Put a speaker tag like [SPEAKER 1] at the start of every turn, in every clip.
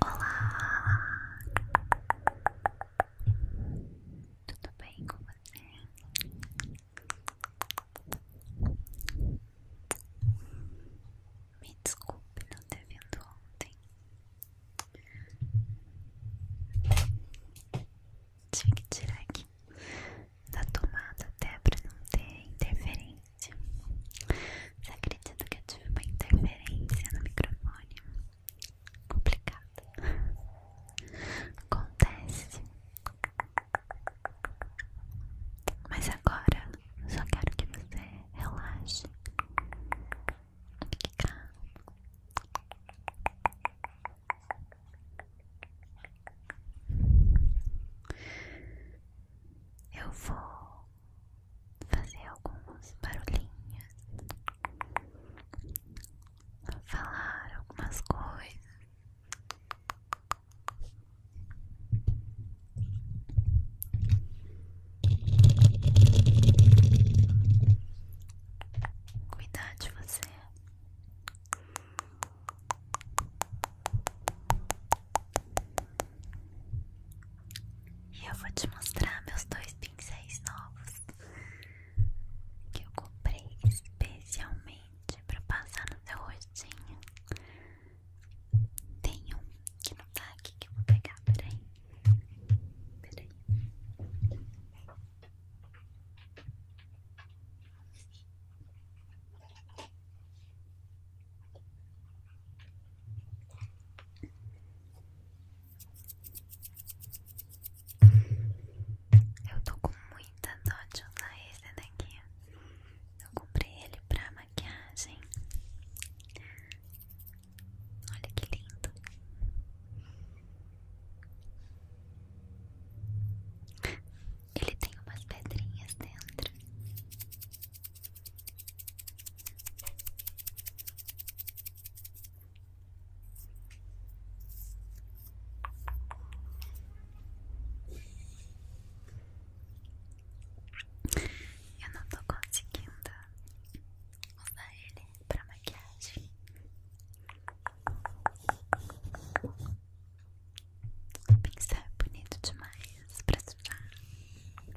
[SPEAKER 1] Olá! Tudo bem com você? Me desculpe não ter vindo ontem. Tive que tirar aqui da tomada até para não ter interferência. Você acredito que eu tive uma interferência no microfone. Complicado. Acontece. Mas agora só quero que você relaxe. Fique Eu vou fazer algumas barulhinhas, falar algumas coisas. Cuidar de você. E eu vou te mostrar meus dois pincéis novos que eu comprei especialmente para passar no seu rostinho. Tem um que não tá aqui que eu vou pegar, peraí. Peraí. Eu tô com muita dó de usar esse daqui. Eu comprei ele pra maquiagem. Olha que lindo. Ele tem umas pedrinhas dentro. Eu não tô conseguindo usar ele para maquiagem. O pincel é bonito demais para estudar.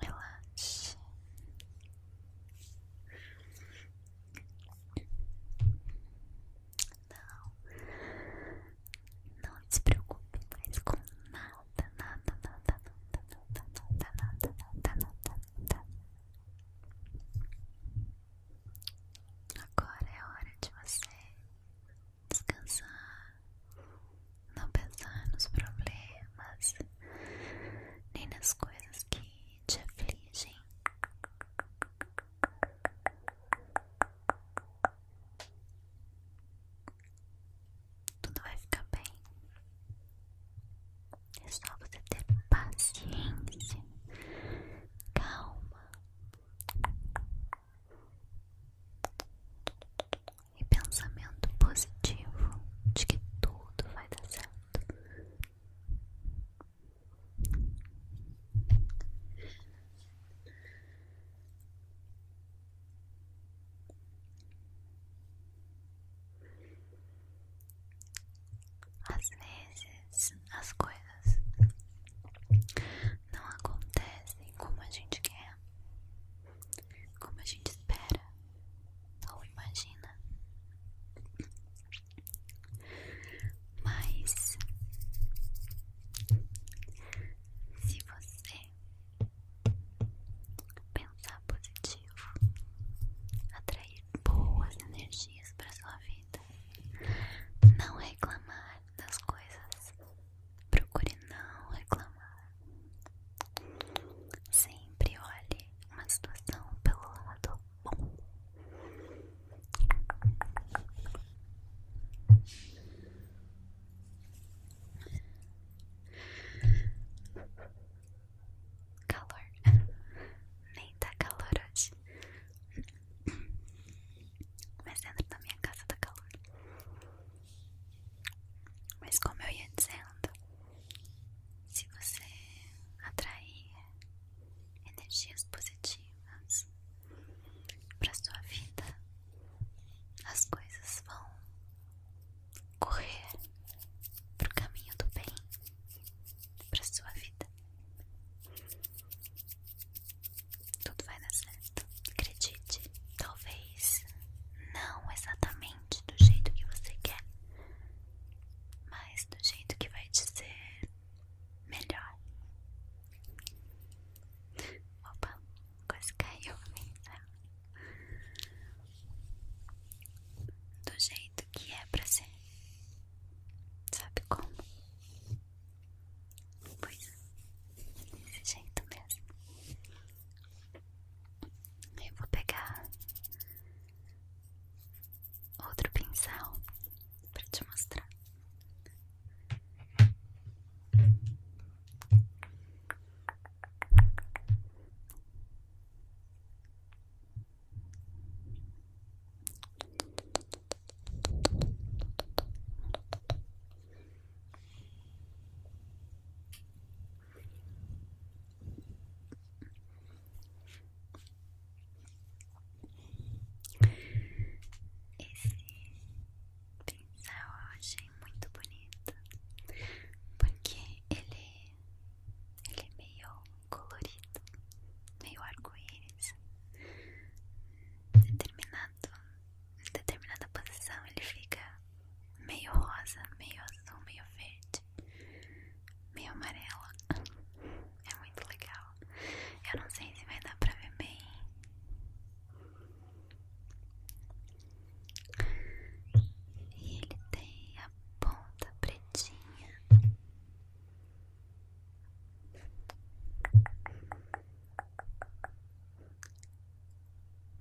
[SPEAKER 1] Relaxe. Não, não se preocupe com nada, nada, nada, nada, nada, nada, nada, nada, nada, nada, nada, Agora é hora de você descansar, não pensar nos problemas, nem nas coisas que te afligem. Tudo vai ficar bem. É só você ter paciência, calma e pensamento positivo de que tudo vai dar certo. Às vezes as coisas não acontecem como a gente quer, como a gente espera ou imagina, mas se você pensar positivo, atrair boas energias para sua vida. Não reclamar das coisas. Procure não reclamar. Sempre olhe uma situação pelo lado bom calor. Nem tá calor hoje. Mas dentro da minha casa tá calor. Mas como eu ia dizendo, se você atrair energias positivas pra sua vida, as coisas vão correr para o caminho do bem, para sua vida. Tudo vai dar certo, acredite. Talvez não exatamente do jeito que você quer, mas do jeito que vai te ser melhor. Opa, quase caiu a do jeito que é pra ser. Sabe como? Pois é. desse jeito mesmo. Eu vou pegar outro pincel pra te mostrar. Esse pincel eu achei muito bonito porque ele ele é meio colorido, meio arco-íris. Determinado, em determinada posição ele fica meio rosa, meio azul, meio verde, meio amarelo. É muito legal. Eu não sei se vai dar pra ver bem. E ele tem a ponta pretinha.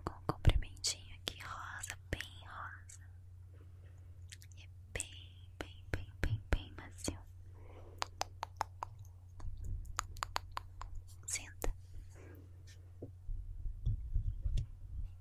[SPEAKER 1] Com comprimentinho aqui rosa, bem rosa. E é bem, bem, bem, bem, bem macio. Senta.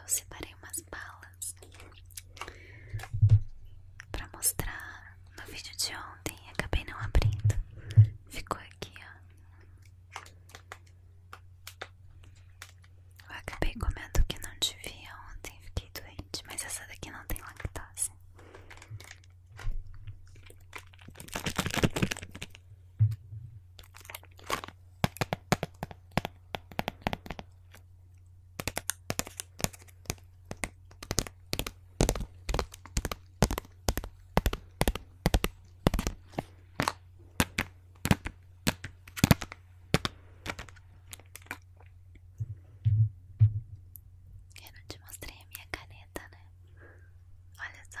[SPEAKER 1] Eu separei umas balas pra mostrar no vídeo de ontem e acabei não abrindo. Ficou aqui, ó. Eu acabei comendo que não devia ontem, fiquei doente, mas essa daqui não tem lactase. Eu não te mostrei a minha caneta, né? Olha só.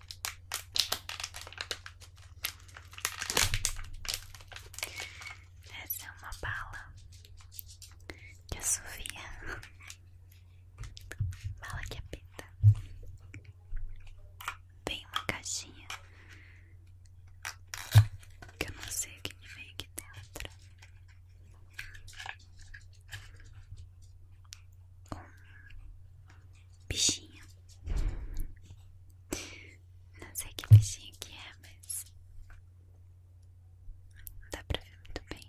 [SPEAKER 1] Essa é uma bala que assovia, bala que apita. Vem uma caixinha que eu não sei o que me vem aqui dentro. Bichinho. Não sei que bichinho que é, mas não dá pra ver muito bem.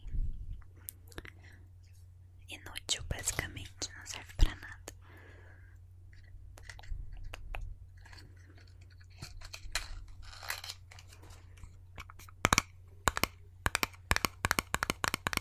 [SPEAKER 1] Inútil, basicamente, não serve pra nada.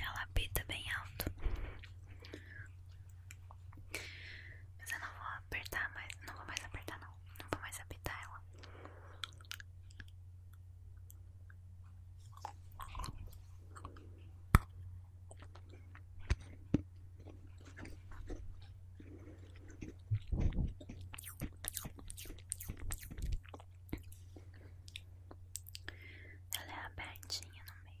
[SPEAKER 1] Ela apita bem alto. Mas eu não vou apertar mais. Não vou mais apertar, não. Não vou mais apitar ela. Ela é abertinha no meio.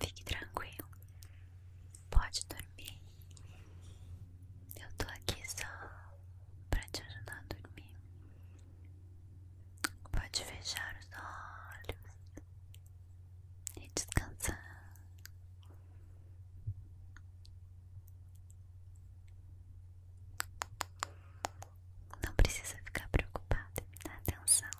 [SPEAKER 1] Fique tranquilo, pode dormir. Eu tô aqui só pra te ajudar a dormir. Pode fechar os olhos e descansar. Não precisa ficar preocupado, dá atenção.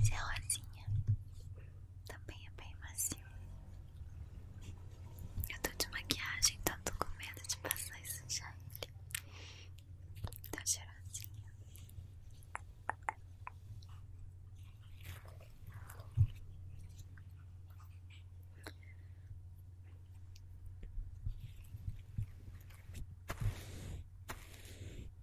[SPEAKER 1] Esse é rosinha, também é bem macio. Eu tô de maquiagem, então tô com medo de passar e sujar ele. Tá cheirosinho.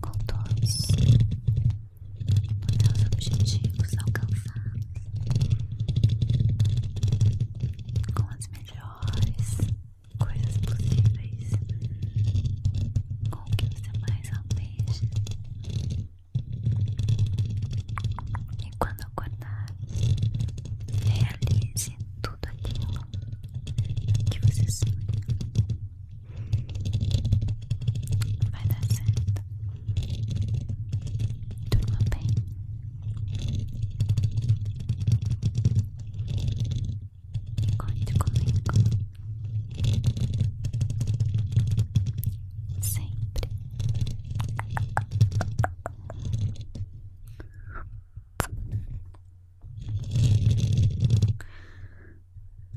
[SPEAKER 1] contornos, mudar os objetivos alcançados com as melhores coisas possíveis, com o que você mais almeja. E quando acordar, realize tudo aquilo que você sonha. Vai dar certo. Durma bem. E conte comigo. Sempre.